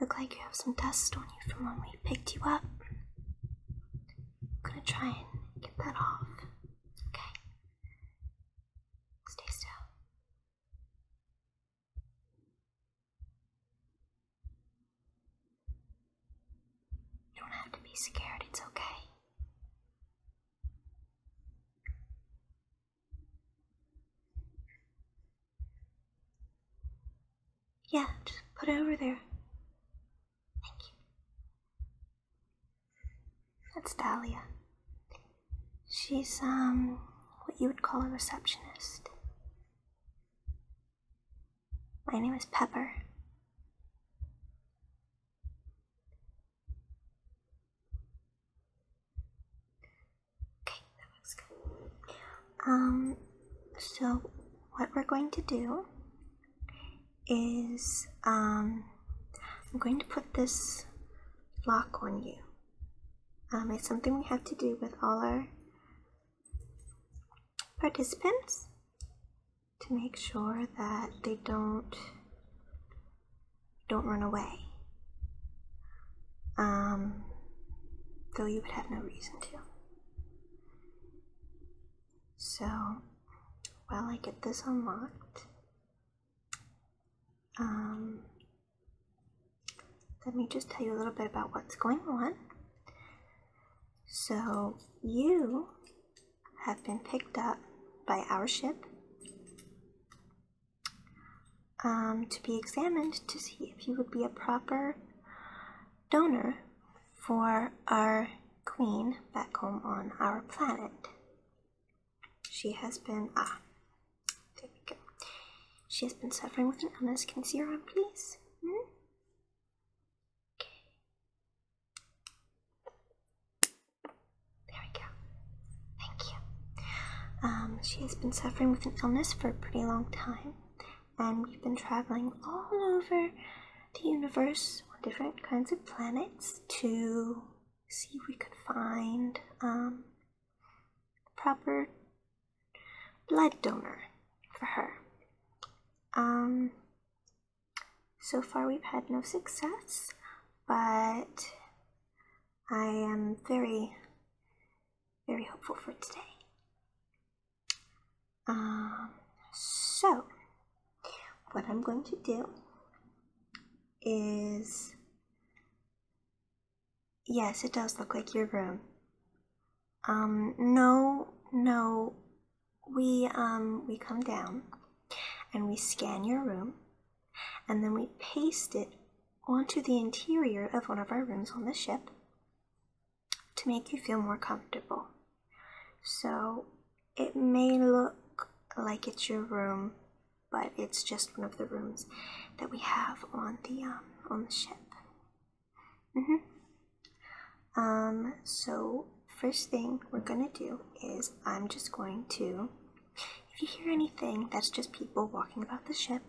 Look like you have some dust on you from when we picked you up. gonna try and get that off. Okay. Stay still. You don't have to be scared, it's okay. Yeah, just put it over there. Thank you. That's Dahlia. She's, um, what you would call a receptionist. My name is Pepper. Okay, that looks good. Um, so what we're going to do is um, I'm going to put this lock on you. Um, it's something we have to do with all our participants to make sure that they don't don't run away. Um, though you would have no reason to. So, while I get this unlocked, um, let me just tell you a little bit about what's going on. So, you have been picked up by our ship um, to be examined to see if you would be a proper donor for our queen back home on our planet. She has been, ah, there we go. She has been suffering with an illness. Can you see her arm, please? Hmm? Okay. There we go. Thank you. Um, she has been suffering with an illness for a pretty long time, and we've been traveling all over the universe on different kinds of planets to see if we could find um, a proper blood donor for her. Um, so far, we've had no success, but I am very, very hopeful for today. Um, so, what I'm going to do is yes, it does look like your room. Um, no, no, we um, we come down and we scan your room and then we paste it onto the interior of one of our rooms on the ship to make you feel more comfortable. So it may look like it's your room, but it's just one of the rooms that we have on the um, on the ship. Mhm. Mm um. So first thing we're gonna do is I'm just going to if you hear anything, that's just people walking about the ship.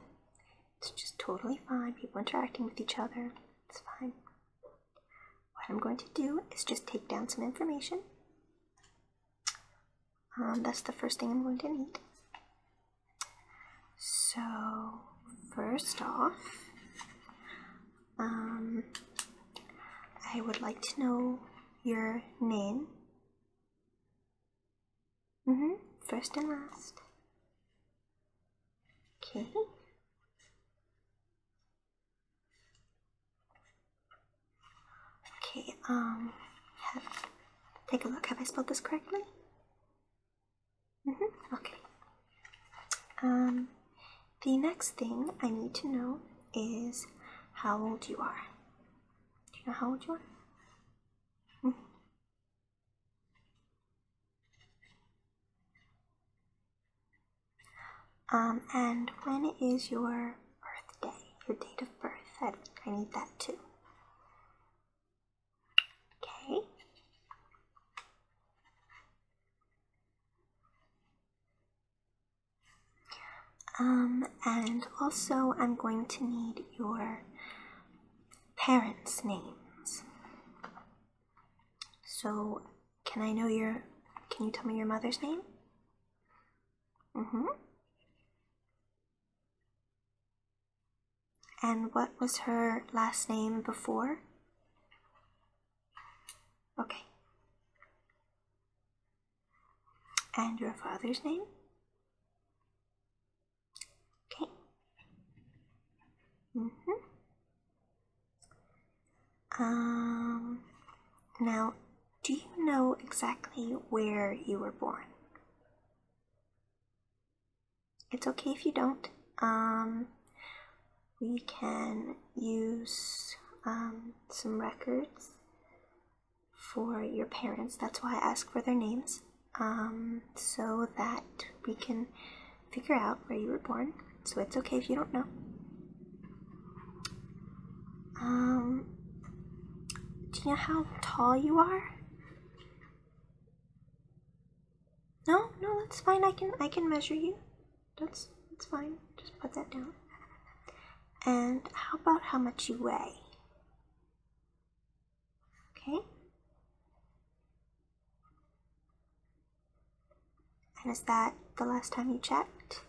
It's just totally fine. People interacting with each other. It's fine. What I'm going to do is just take down some information. Um, that's the first thing I'm going to need. So, first off, um, I would like to know your name Mm-hmm. First and last. Okay. Okay, um, have, take a look. Have I spelled this correctly? Mm-hmm. Okay. Um, the next thing I need to know is how old you are. Do you know how old you are? Um, and when is your birthday, your date of birth? I, I need that too. Okay. Um, and also, I'm going to need your parents' names. So, can I know your? Can you tell me your mother's name? Mm-hmm. And what was her last name before? Okay. And your father's name? Okay. -hmm. Um, now, do you know exactly where you were born? It's okay if you don't. Um, we can use um, some records for your parents. That's why I ask for their names, um, so that we can figure out where you were born. So it's okay if you don't know. Um, do you know how tall you are? No, no, that's fine. I can I can measure you. That's that's fine. Just put that down. And how about how much you weigh? Okay. And is that the last time you checked?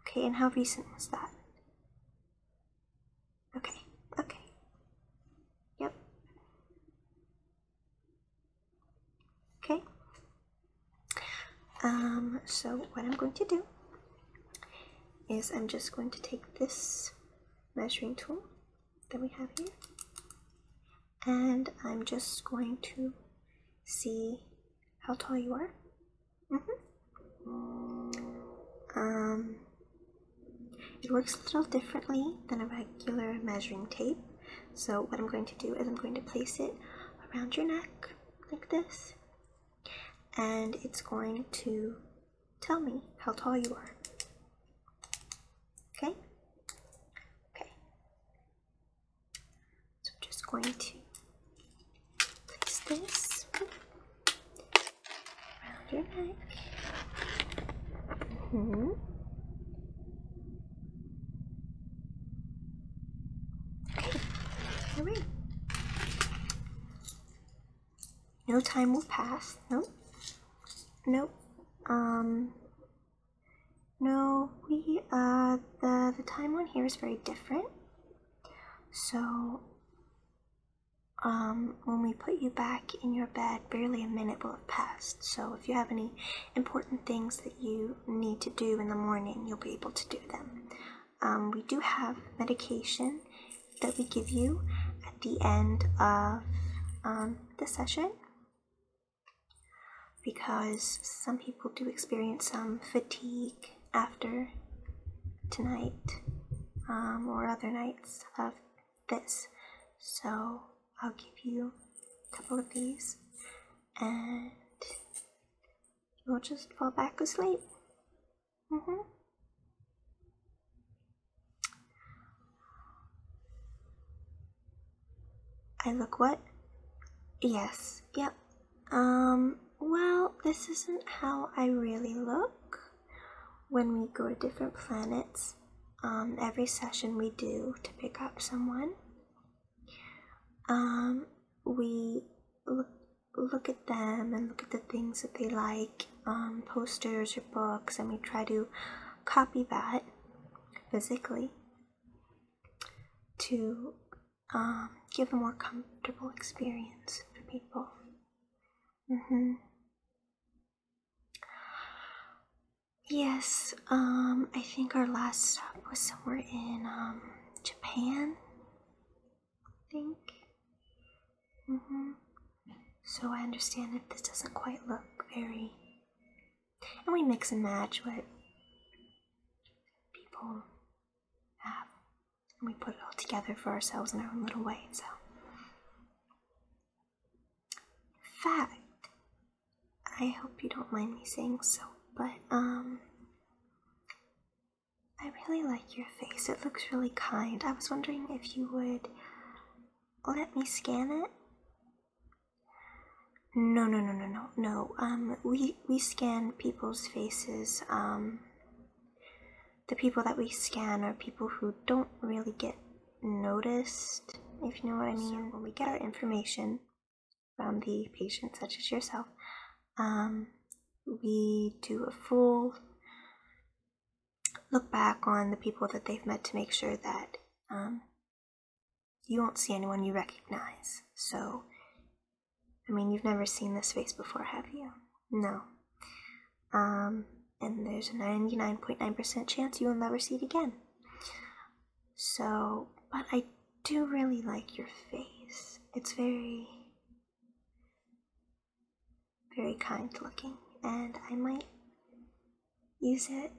Okay, and how recent was that? Okay, okay. Yep. Okay, um, so what I'm going to do is I'm just going to take this measuring tool that we have here and I'm just going to see how tall you are. Mm-hmm. Um, it works a little differently than a regular measuring tape. So what I'm going to do is I'm going to place it around your neck like this and it's going to tell me how tall you are. Okay? Okay. So I'm just going to place this around your neck. Mm-hmm. Hurry. No time will pass. No. Nope. Nope. Um. No, we, uh, the, the time on here is very different. So, um, when we put you back in your bed, barely a minute will have passed. So if you have any important things that you need to do in the morning, you'll be able to do them. Um, we do have medication that we give you at the end of um, the session because some people do experience some fatigue after tonight um, or other nights of this. So I'll give you a couple of these and You'll just fall back asleep. Mm hmm. I look what? Yes, yep. Um, well, this isn't how I really look when we go to different planets. Um, every session we do to pick up someone, um, we look look at them and look at the things that they like, um, posters or books, and we try to copy that physically to um, give a more comfortable experience for people. Mm-hmm. Yes, um, I think our last stop was somewhere in Japan. I think. Mm-hmm. So I understand if this doesn't quite look very. And we mix and match what people have. And we put it all together for ourselves in our own little way, so. In fact, I hope you don't mind me saying so, but, um. I really like your face. It looks really kind. I was wondering if you would let me scan it. No, no, no, no, no, no. Um, we we scan people's faces. Um, the people that we scan are people who don't really get noticed, if you know what I mean. When we get our information, from the patients, such as yourself, um, we do a full look back on the people that they've met to make sure that um, you won't see anyone you recognize. So, I mean, you've never seen this face before, have you? No. Um, and there's a 99.9% chance you will never see it again. So, but I do really like your face. It's very very kind looking, and I might use it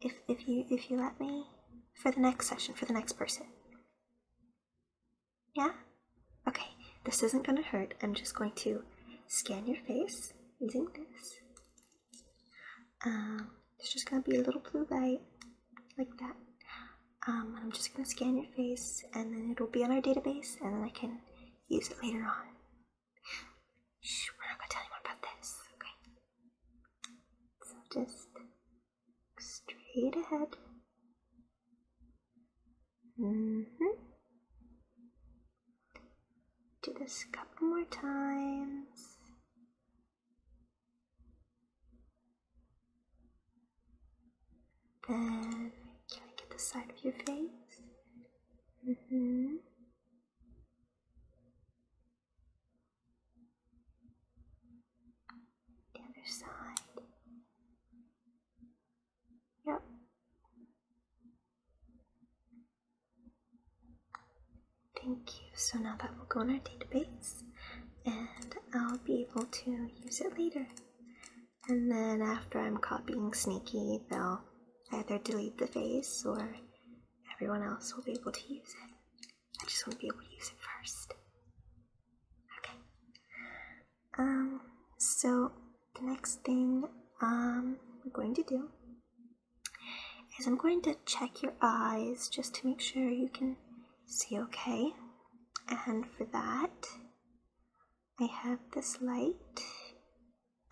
if if you if you let me for the next session for the next person. Yeah? Okay, this isn't gonna hurt. I'm just going to scan your face using this. Um, it's just gonna be a little blue light like that. Um, I'm just going to scan your face and then it'll be on our database and then I can use it later on. Shh, we're not going to tell anyone about this, okay? So just straight ahead. hmm. Do this a couple more times. And can I get the side of your face? hmm other side. Yep. Thank you. So now that will go in our database and I'll be able to use it later. And then after I'm copying Sneaky, they'll either delete the face or everyone else will be able to use it. I just want to be able to use it first. Okay. Um, so the next thing um, we're going to do is I'm going to check your eyes just to make sure you can See, okay? And for that, I have this light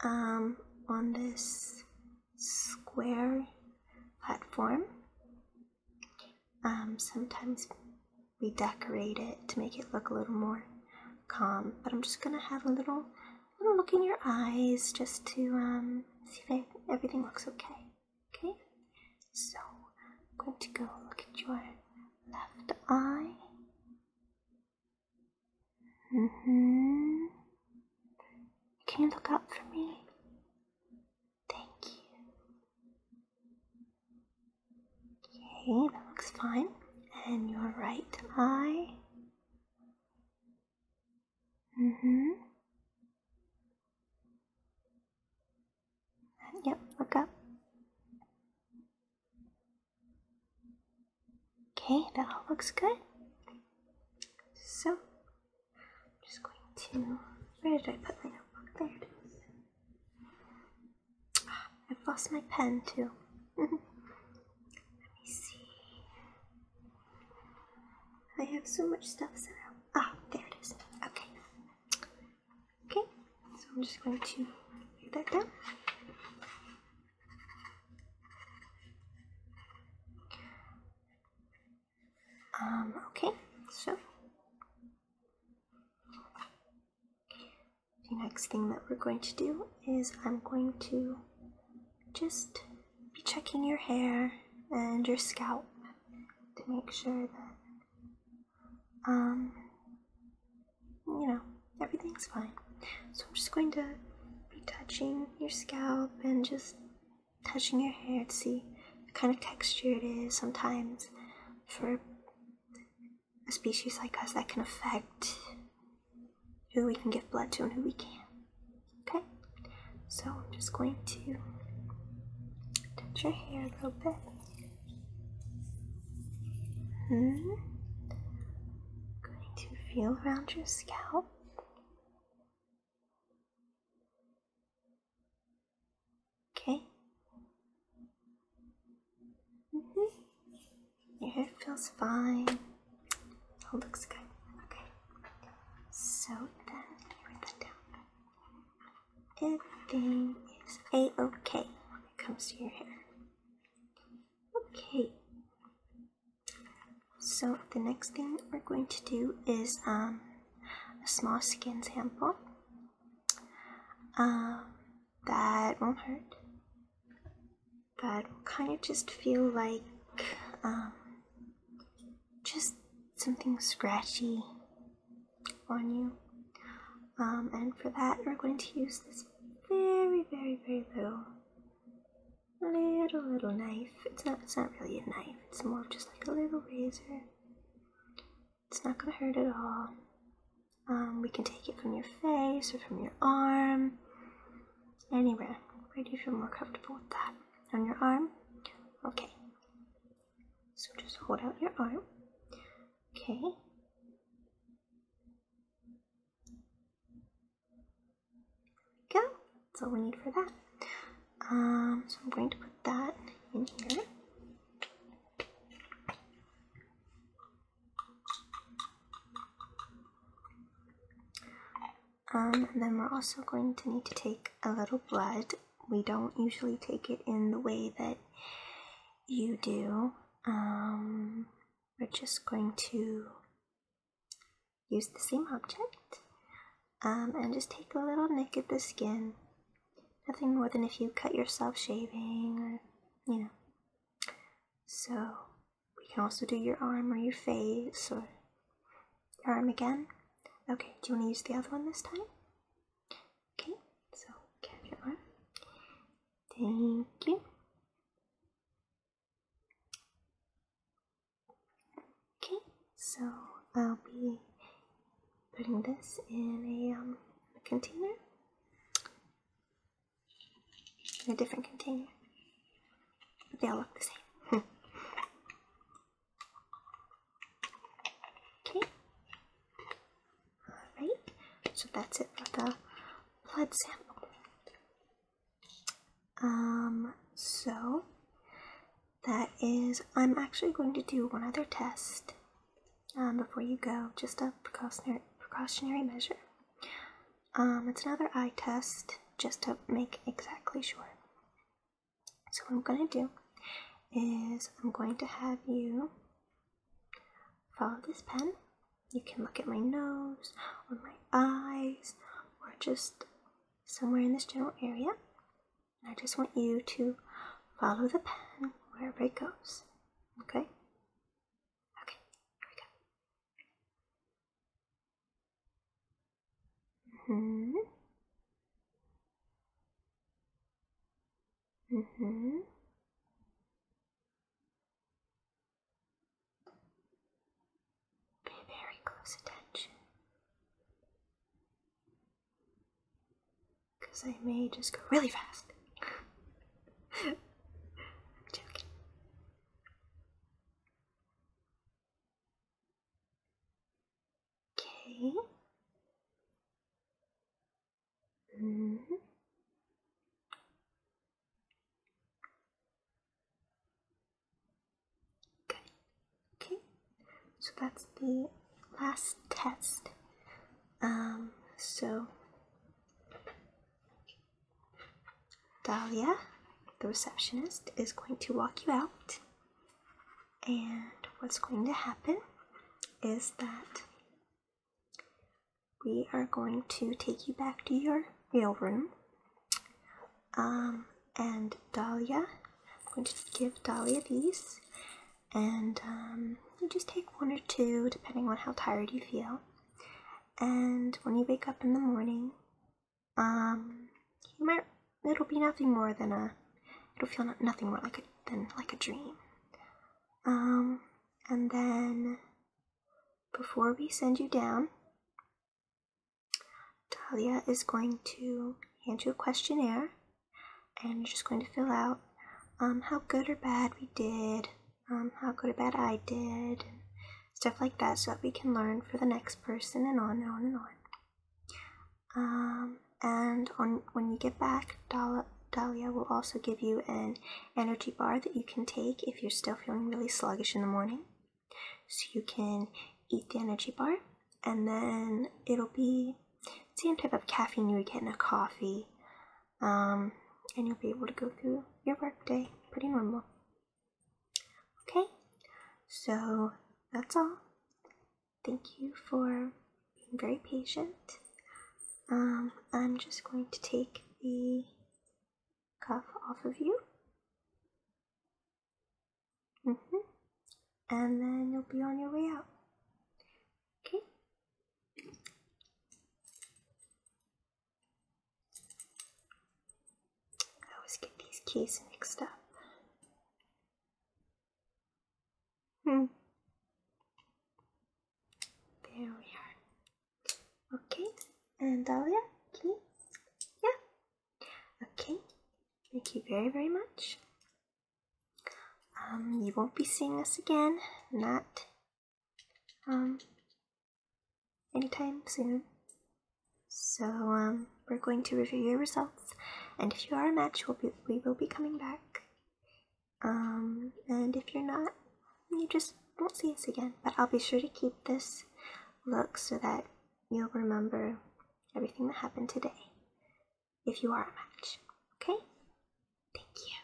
um, on this square platform. Um, sometimes we decorate it to make it look a little more calm, but I'm just gonna have a little, little look in your eyes just to um, see if everything looks okay. Okay, so I'm going to go look at your left eye. Mm hmm. Can you look up for me? Thank you. Okay, that looks fine. And your right eye. hmm. Yep, look up. Okay, that all looks good. So, I'm just going to. Where did I put my notebook? There it is. Ah, I've lost my pen too. Let me see. I have so much stuff set up. Ah, there it is. Okay. Okay, so I'm just going to put that down. Um, okay, so the next thing that we're going to do is I'm going to just be checking your hair and your scalp to make sure that um, you know, everything's fine. So I'm just going to be touching your scalp and just touching your hair to see what kind of texture it is. Sometimes for a species like us, that can affect who we can give blood to and who we can't. Okay? So I'm just going to touch your hair a little bit. Hmm. Going to feel around your scalp. Okay. -hmm. Your hair feels fine. It looks good. Okay. So then, write that down everything is a-okay when it comes to your hair. Okay. So the next thing we're going to do is um, a small skin sample. Um, that won't hurt. But will kind of just feel like um, just something scratchy on you. Um, and for that, we're going to use this very, very, very little, little, little knife. It's not, it's not really a knife. It's more just like a little razor. It's not gonna hurt at all. Um, we can take it from your face or from your arm, anywhere. Where do you feel more comfortable with that? On your arm? Okay. So just hold out your arm. Okay. go. That's all we need for that. Um, so I'm going to put that in here. Um, and then we're also going to need to take a little blood we don't usually take it in the way that you do. Um, we're just going to use the same object um, and just take a little nick at the skin. Nothing more than if you cut yourself shaving or, you know. So we can also do your arm or your face or your arm again. Okay, do you want to use the other one this time? Okay, so carry on. Thank you. Okay, so I'll be putting this in a, a um, container, in a different container. But they all look the same. Okay. Alright, so that's it for the blood sample. Um, so that is, I'm actually going to do one other test um, before you go, just a precautionary, precautionary measure. Um, it's another eye test just to make exactly sure. So what I'm going to do is I'm going to have you follow this pen. You can look at my nose or my eyes or just somewhere in this general area. I just want you to follow the pen wherever it goes. Okay? Okay, here we go. hmm mmhmm Pay very close attention because I may just go really fast. I'm joking. Okay. -hmm. Good. Okay. So that's the last test. Um, so Dahlia, the receptionist, is going to walk you out. And what's going to happen is that we are going to take you back to your real room. Um, and Dahlia, I'm going to give Dahlia these. And um, you just take one or two depending on how tired you feel. And when you wake up in the morning, um, you might it'll be nothing more than a it'll feel nothing more like it than like a dream um and then before we send you down Talia is going to hand you a questionnaire and you're just going to fill out um, how good or bad we did, um, how good or bad I did, stuff like that so that we can learn for the next person and on and on and on. Um, and on when you get back, Dahlia, will also give you an energy bar that you can take if you're still feeling really sluggish in the morning. So you can eat the energy bar, and then it'll be same type of caffeine you would get in a coffee, um, and you'll be able to go through your workday pretty normal. Okay, so that's all. Thank you for being very patient. Um, I'm just going to take the cuff off of you. Mm-hmm. And then you'll be on your way out. Okay? I always get these keys mixed up. Hmm. There we are. Okay, and Dahlia, can you? Yeah. Okay, thank you very, very much. Um, you won't be seeing us again, not um, anytime soon. So, um, we're going to review your results, and if you are a match, we'll be, we will be coming back. Um, and if you're not, you just won't see us again. But I'll be sure to keep this look so that you'll remember everything that happened today if you are a match. Okay? Thank you.